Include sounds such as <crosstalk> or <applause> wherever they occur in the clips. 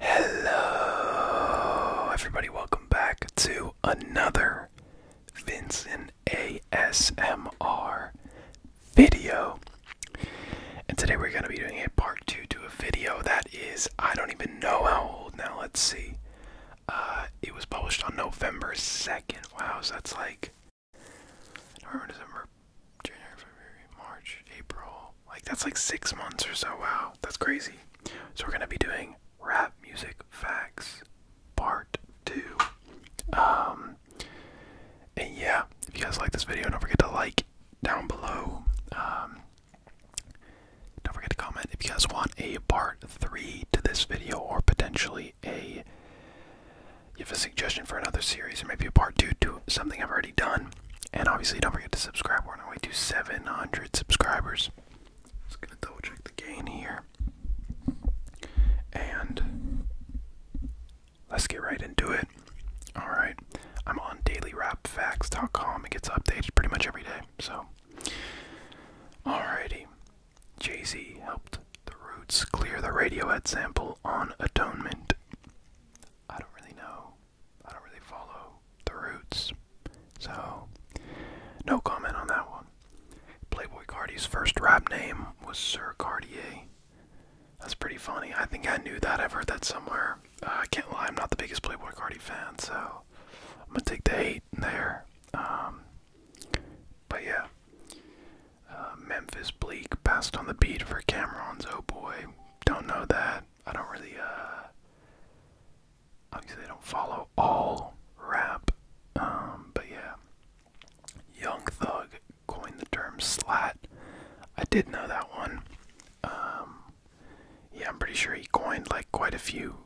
Hello, everybody. Welcome back to another Vincent ASMR video. And today we're going to be doing a part two to a video that is, I don't even know how old now. Let's see. Uh, it was published on November 2nd. Wow, so that's like November, January, February, March, April. Like that's like six months or so. Wow, that's crazy. So we're gonna be doing rap music facts part two. Um, and yeah, if you guys like this video, don't forget to like down below. Um, don't forget to comment if you guys want a part three to this video or potentially a. you have a suggestion for another series or maybe a part two to something I've already done. And obviously, don't forget to subscribe. We're on our way to 700 subscribers. Just gonna double check the gain here. And let's get right into it. Alright, I'm on dailywrapfacts.com. It gets updated pretty much every day. So, alrighty. Jay Z helped the Roots clear the radio Radiohead sample on Atonement. I don't really know I don't really follow the roots. So, no comment on that one. Playboy Cardi's first rap name was Sir Cartier. That's pretty funny. I think I knew that. I've heard that somewhere. Uh, I can't lie, I'm not the biggest Playboy Cardi fan, so I'm gonna take the hate there. Um, but yeah. Uh, Memphis Bleak passed on the beat for Cameron's Oh Boy. Don't know that. I don't really, uh, obviously I don't follow all rap, um, but yeah. Young Thug coined the term slat. I did know that one. Um, yeah, I'm pretty sure he coined like quite a few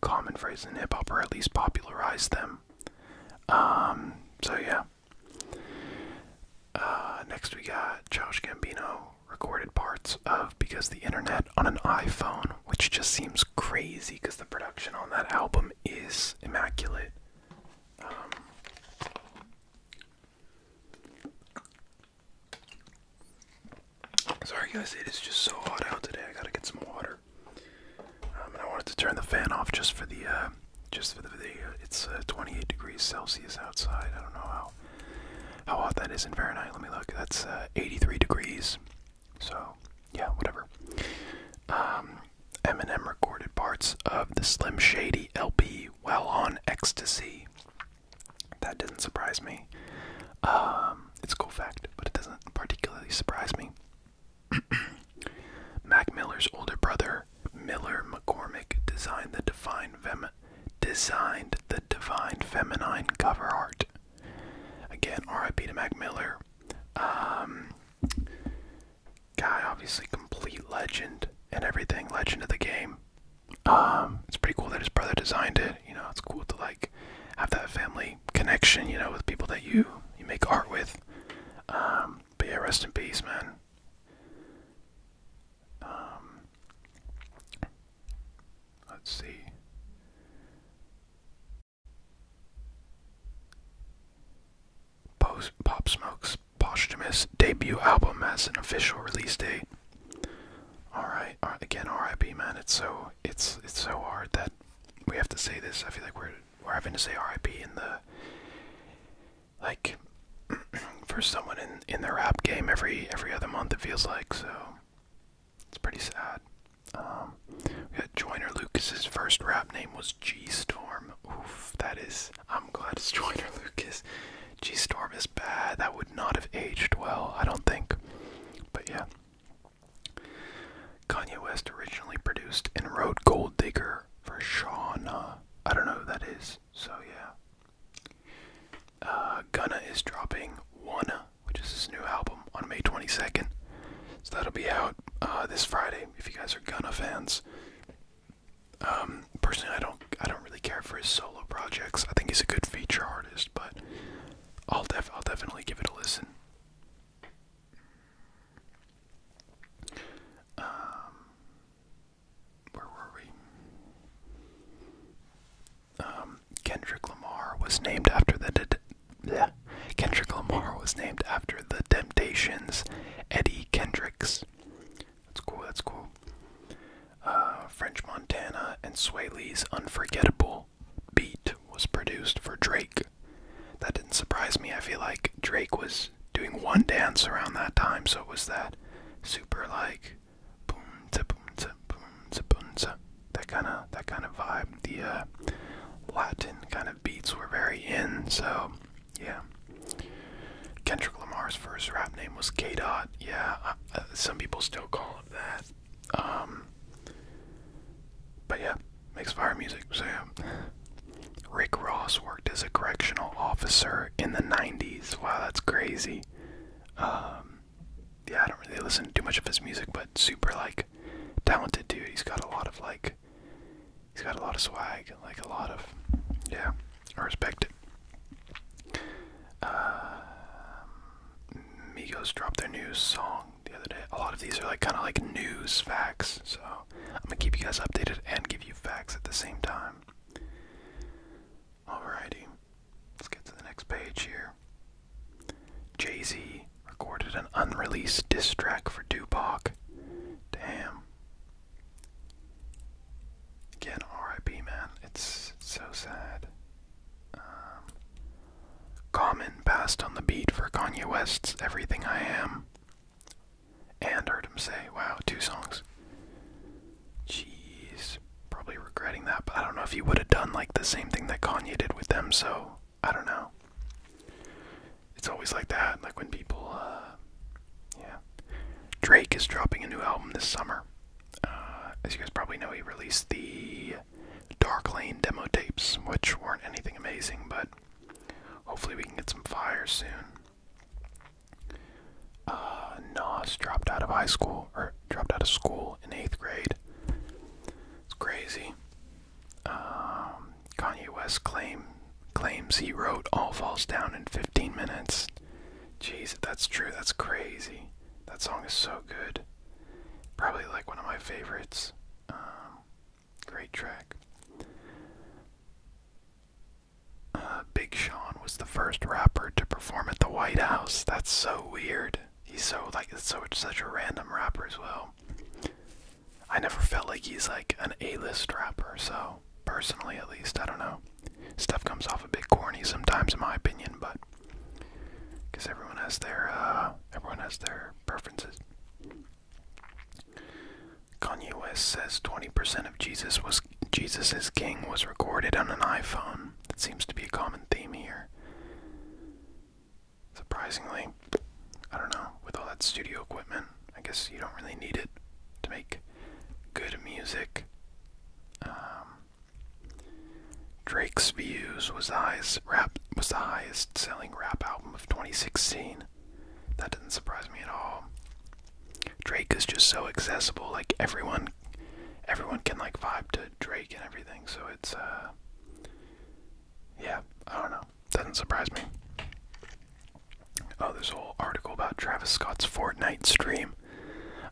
common phrases in hip hop, or at least popularized them. Um, so yeah. Uh, next, we got Josh Gambino recorded parts of Because the Internet on an iPhone, which just seems crazy because the production on that album is immaculate. Um, sorry, guys, it is just so hot out today. I gotta get some water. Um, I wanted to turn the fan off just for the uh, just for the video. It's uh, 28 degrees Celsius outside. I don't know how how oh, hot that is in Fahrenheit. Let me look. That's uh, 83 degrees. So yeah, whatever. Um, Eminem recorded parts of the Slim Shady LP while on ecstasy. That doesn't surprise me. Um, it's a cool fact, but it doesn't particularly surprise me. <clears throat> Mac Miller's older brother Miller. McCormick designed the divine fem designed the divine feminine cover art. Again, R.I.P. to Mac Miller. Um, guy, obviously, complete legend and everything, legend of the game. Um, it's pretty cool that his brother designed it. You know, it's cool to like have that family connection. You know, with people that you you make art with. Um, but yeah, rest in peace, man. Um, let's see. Post Pop Smoke's posthumous debut album has an official release date. all right uh, again, R.I.P. Man. It's so it's it's so hard that we have to say this. I feel like we're we're having to say R.I.P. in the like <clears throat> for someone in in their rap game every every other month it feels like so it's pretty sad. Um, we got Joyner Lucas's first rap name was G Storm. Oof, that is. I'm glad it's <laughs> Joyner Lucas. G Storm is bad. That would not have aged well, I don't think. But yeah. Kanye West originally produced and wrote Gold Digger for Shauna. I don't know who that is. So yeah, uh, Gunna is dropping One, which is his new album, on May 22nd. So that'll be out uh, this Friday if you guys are Gunna fans. Um, personally, I don't, I don't really care for his solo projects. I think he's a good feature artist, but I'll, def I'll definitely give it a listen. Um, where were we? Um, Kendrick Lamar was named after the de Kendrick Lamar was named after the Temptations, Eddie Kendricks. That's cool. That's cool. Uh, French Montana and Swae Lee's "Unforgettable" beat was produced for Drake. That didn't surprise me. I feel like Drake was doing one dance around that time, so it was that super like like boomza boomza boomza boomza. That kind of that kind of vibe. The uh, Latin kind of beats were very in. So yeah. Kendrick Lamar's first rap name was K Dot. Yeah, uh, some people still call it that. Um, but yeah, makes fire music. So Rick Ross worked as a correctional officer in the 90s wow, that's crazy. Um, yeah, I don't really listen to too much of his music, but super like talented dude. He's got a lot of like, he's got a lot of swag, like a lot of, yeah, I respect it. Um, Migos dropped their new song the other day. A lot of these are like kind of like news facts, so I'm gonna keep you guys updated and give you facts at the same time. Alrighty, let's get to the next page here. Jay Z recorded an unreleased diss track for Tupac. Damn. Again, RIP, man. It's so sad. Um, Common passed on the beat for Kanye West's Everything I Am. And heard him say, wow, two songs. Jeez. Probably regretting that, but I don't know if he would have done like the same thing that Kanye did with them, so I don't know. It's always like that, like when people, uh, yeah. Drake is dropping a new album this summer. Uh, as you guys probably know, he released the Dark Lane demo tapes, which weren't anything amazing, but hopefully we can get some fire soon. Uh, Nas dropped out of high school, or dropped out of school in eighth grade. It's crazy. Um, Kanye West claim, claims he wrote All Falls Down in 15 minutes. Jeez, that's true, that's crazy. That song is so good. Probably like one of my favorites. Um, great track. Uh, Big Sean was the first rapper to perform at the White House. That's so weird. He's so like so such a random rapper as well. I never felt like he's like an A-list rapper. So personally, at least, I don't know. Stuff comes off a bit corny sometimes, in my opinion, but because everyone has their uh, everyone has their preferences. Kanye West says 20% of Jesus was Jesus is King was recorded on an iPhone. That seems to be a common theme here. Surprisingly, I don't know, with all that studio equipment, I guess you don't really need it to make good music. Um, Drake's Views was the highest selling rap album of 2016. That does not surprise me at all. Drake is just so accessible. Like everyone, everyone can like vibe to Drake and everything. So it's uh, yeah, I don't know. Doesn't surprise me. Oh, there's a whole article about Travis Scott's Fortnite stream.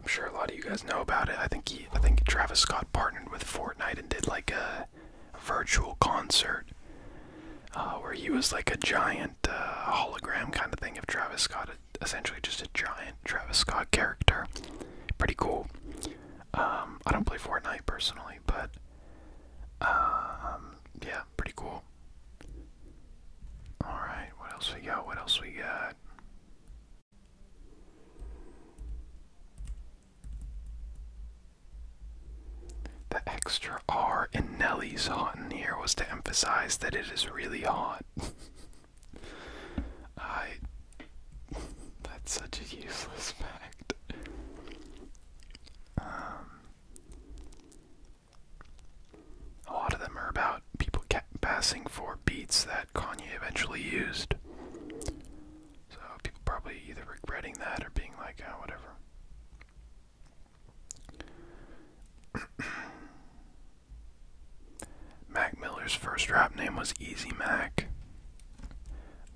I'm sure a lot of you guys know about it. I think I think Travis Scott partnered with Fortnite and did like a, virtual concert uh, where he was like a giant uh, hologram kind of thing of Travis Scott essentially just a giant Travis Scott character. Pretty cool. Um, I don't play Fortnite personally, but um, yeah, pretty cool. All right, what else we got? What else we got? The extra R in Nelly's hot in here was to emphasize that it is really hot. <laughs> I. That's such a useless fact. Um, a lot of them are about people passing for beats that Kanye eventually used. So people probably either regretting that or being like, oh, whatever. <clears throat> Mac Miller's first rap name was Easy Mac.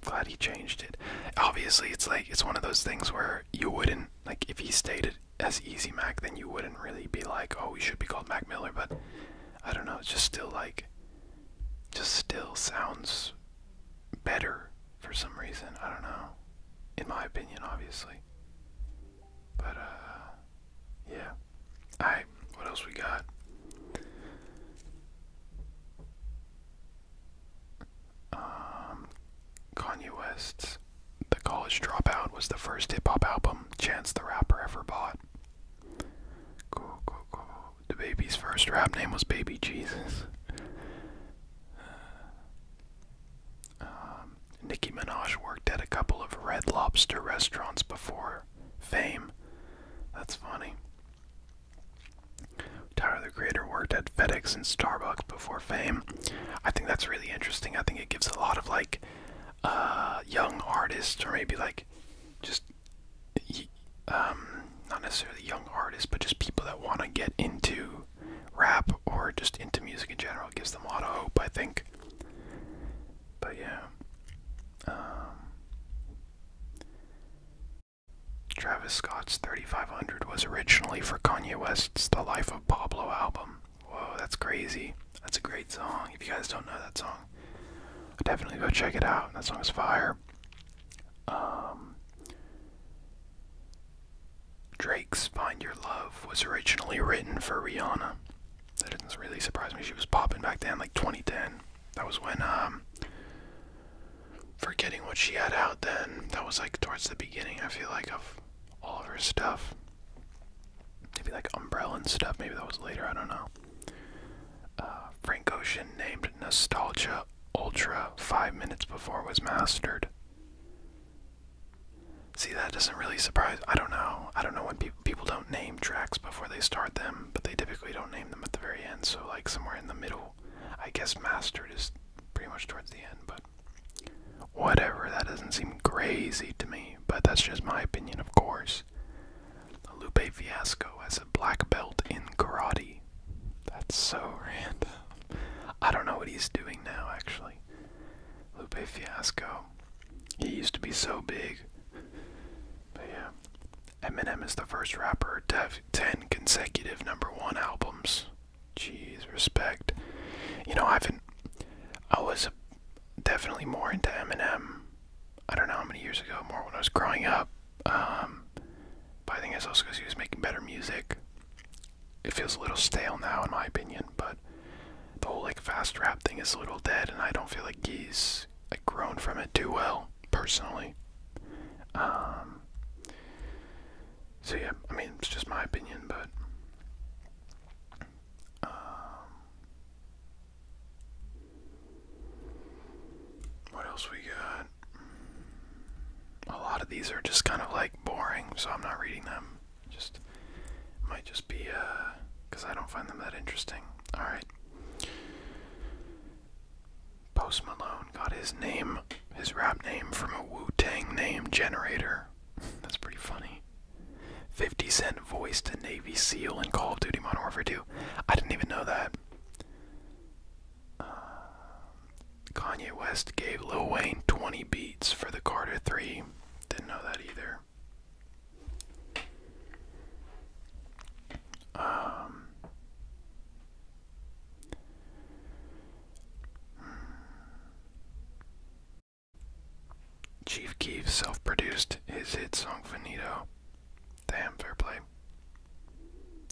glad he changed it. Obviously, it's like it's one of those things where you wouldn't like if he stated as Easy Mac, then you wouldn't really be like, oh, he should be called Mac Miller. But I don't know. It's just still like, just still sounds better for some reason. I don't know. In my opinion, obviously. But uh yeah. Alright, what else we got? Um Kanye West's The College Dropout was the first hip hop album Chance the Rapper ever bought. Cool, cool, cool. The baby's first rap name was Baby Jesus. Um, Nicki Minaj worked at a couple of Red Lobster restaurants before fame. That's funny. Tyler the Creator worked at FedEx and Starbucks before fame. I think that's really interesting. I think it gives a lot of like uh, young artists, or maybe like just um, not necessarily young artists, but just people that want to get into rap or just into music in general. It gives them a lot of hope, I think. But yeah. Um, Travis Scott's 3500 was originally for Kanye West's The Life of Pablo album. Whoa, that's crazy. That's a great song. If you guys don't know that song, definitely go check it out. That song is fire. Um, Drake's Find Your Love was originally written for Rihanna. That does not really surprise me. She was popping back then, like 2010. That was when, um, forgetting what she had out then. That was like towards the beginning, I feel like, of all of her stuff. Maybe like Umbrella and stuff. Maybe that was later. I don't know. Uh, Frank Ocean named Nostalgia Ultra five minutes before it was mastered. See, that doesn't really surprise. I don't know. I don't know when people don't name tracks before they start them, but they typically don't name them at the very end. So like somewhere in the middle, I guess "Master" is pretty much towards the end. But whatever. That doesn't seem crazy to me. But that's just my opinion, of course. Lupe Fiasco has a black belt in karate. That's so <laughs> random. I don't know what he's doing now, actually. Lupe Fiasco. He used to be so big. But yeah. Eminem is the first rapper to have 10 consecutive number one albums. Jeez, respect. You know, I haven't. I was definitely more into Eminem. I don't know how many years ago, more when I was growing up. Um, but I think it's also because he was making better music. It feels a little stale now, in my opinion, but the whole like fast rap thing is a little dead, and I don't feel like he's like grown from it too well personally. Um, so yeah, I mean it's just my opinion, but um, what else we got? A lot of these are just kind of like boring, so I'm not reading them. Just might just be uh because I don't find them that interesting. Alright. Post Malone got his name, his rap name from a Wu Tang name generator. <laughs> That's pretty funny. 50 Cent voiced a Navy SEAL in Call of Duty Modern Warfare 2. I didn't even know that. Uh, Kanye West gave Lil Wayne 20 beats for the Carter 3. Didn't know that either. Um, Chief Keef self produced his hit song Finito. Damn, fair play.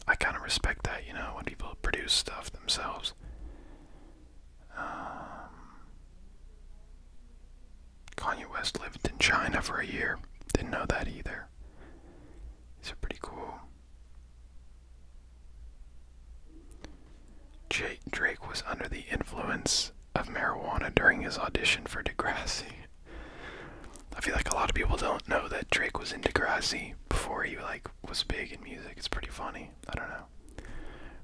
I kind of respect that, you know, when people produce stuff themselves. Um, Kanye West lived in China for a year. Didn't know that either. These pretty cool. Jake Drake was under the influence of marijuana during his audition for Degrassi. I feel like a lot of people don't know that Drake was in Degrassi before he like was big in music. It's pretty funny. I don't know.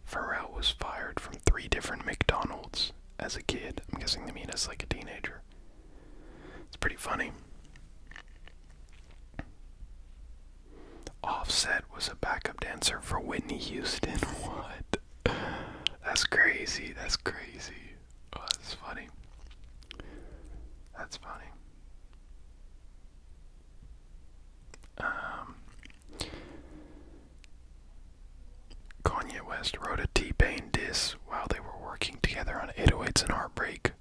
Pharrell was fired from three different McDonald's as a kid. I'm guessing they mean as like a teenager. It's pretty funny. Offset was a backup dancer for Whitney Houston. <laughs> What? That's crazy. That's crazy. Oh, that's funny. That's funny. Um, Kanye West wrote a T-Pain diss while they were working together on 808s and Heartbreak.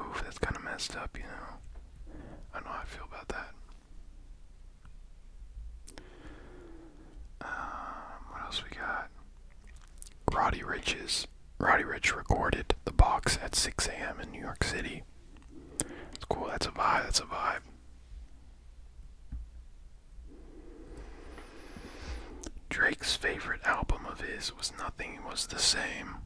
Oof, that's kind of messed up, you know. I know how I feel about that. Um, what else we got? Roddy Rich's Roddy Rich recorded the box at 6 a.m. in New York City. It's cool. That's a vibe. That's a vibe. Drake's favorite album of his was Nothing Was the Same.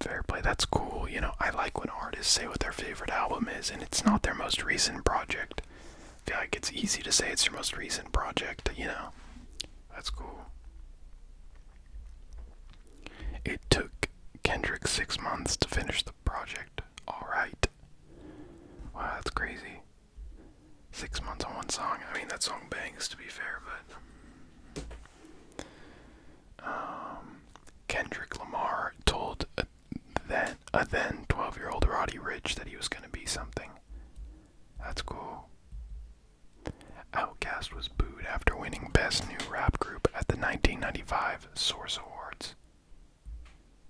Fair play, that's cool. You know, I like when artists say what their favorite album is and it's not their most recent project. feel like it's easy to say it's your most recent project, you know. That's cool. It took Kendrick six months to finish the project. Alright. Wow, that's crazy. Six months on one song. I mean, that song bangs to be fair, but. Um, Kendrick Lamar told a then a then 12 year old Roddy Rich that he was going to be something. That's cool. Outcast was booed after winning Best New Rap Group at the 1995 Source Awards.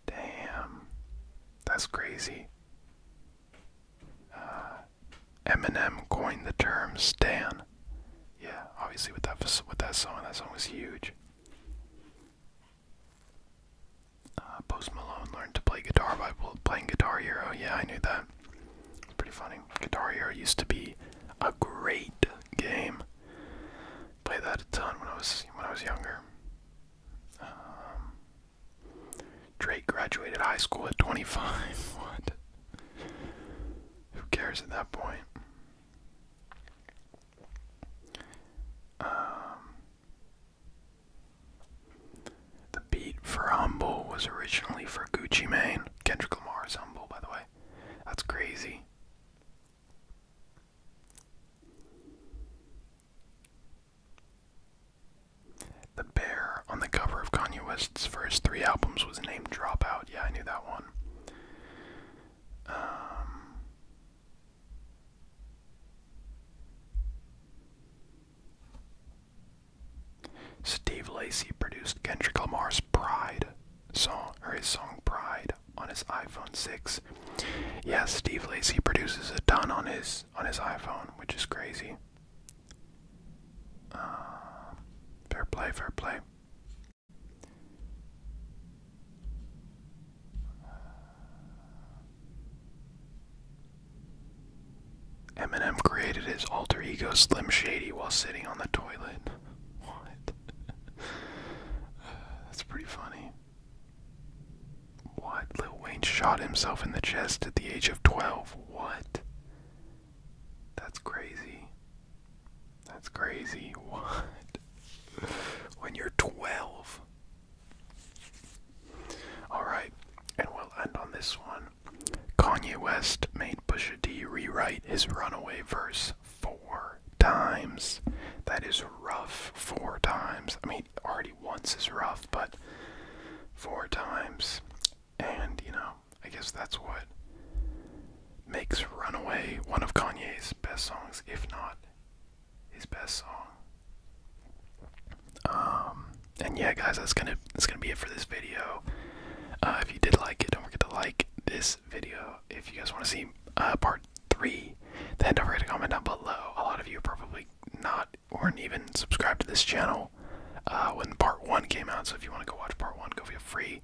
Damn. That's crazy. Uh, Eminem coined the term "stan." Yeah, obviously with that with that song, that song was huge. Uh, Post Malone learned to play guitar by playing Guitar Hero. Yeah, I knew that. Pretty funny. Guitar Hero used to be a great game. Played that a ton when I was when I was younger. Um, Drake graduated high school at 25. <laughs> what? Who cares at that point? Um, the beat for Humble was originally for Gucci Mane. Kendrick Lamar's Humble, by the way. That's crazy. The bear on the cover of Kanye West's first three albums was named Dropout. Yeah, I knew that one. Um, Steve Lacy produced Kendrick Lamar's Pride song or his song Pride on his iPhone 6. Yes, Steve Lacy produces a ton on his on his iPhone, which is crazy. Uh, fair play, fair play. Eminem created his alter ego Slim Shady while sitting on the toilet what? <laughs> Uh, that's pretty funny. What? Lil Wayne shot himself in the chest at the age of 12. What? That's crazy. That's crazy. <laughs> What? when you're 12. Alright, and we'll end on this one. Kanye West made Pusha D rewrite his runaway verse four times. That is rough four times. I mean, already once is rough, but four times. And, you know, I guess that's what makes Runaway one of Kanye's best songs, if not his best song. Um, and yeah, guys, that's gonna that's gonna be it for this video. Uh, if you did like it, don't forget to like this video. If you guys want to see uh, part three, then don't forget to comment down below. A lot of you probably not weren't even subscribed to this channel uh, when part one came out. So if you want to go watch part one, go feel free.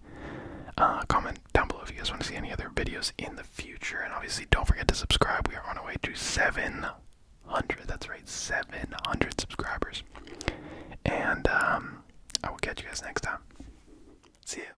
Uh, comment down below if you guys want to see any other videos in the future. And obviously, don't forget to subscribe. We are on our way to 700. That's right, 700 subscribers. And um, I will catch you guys next time. See you.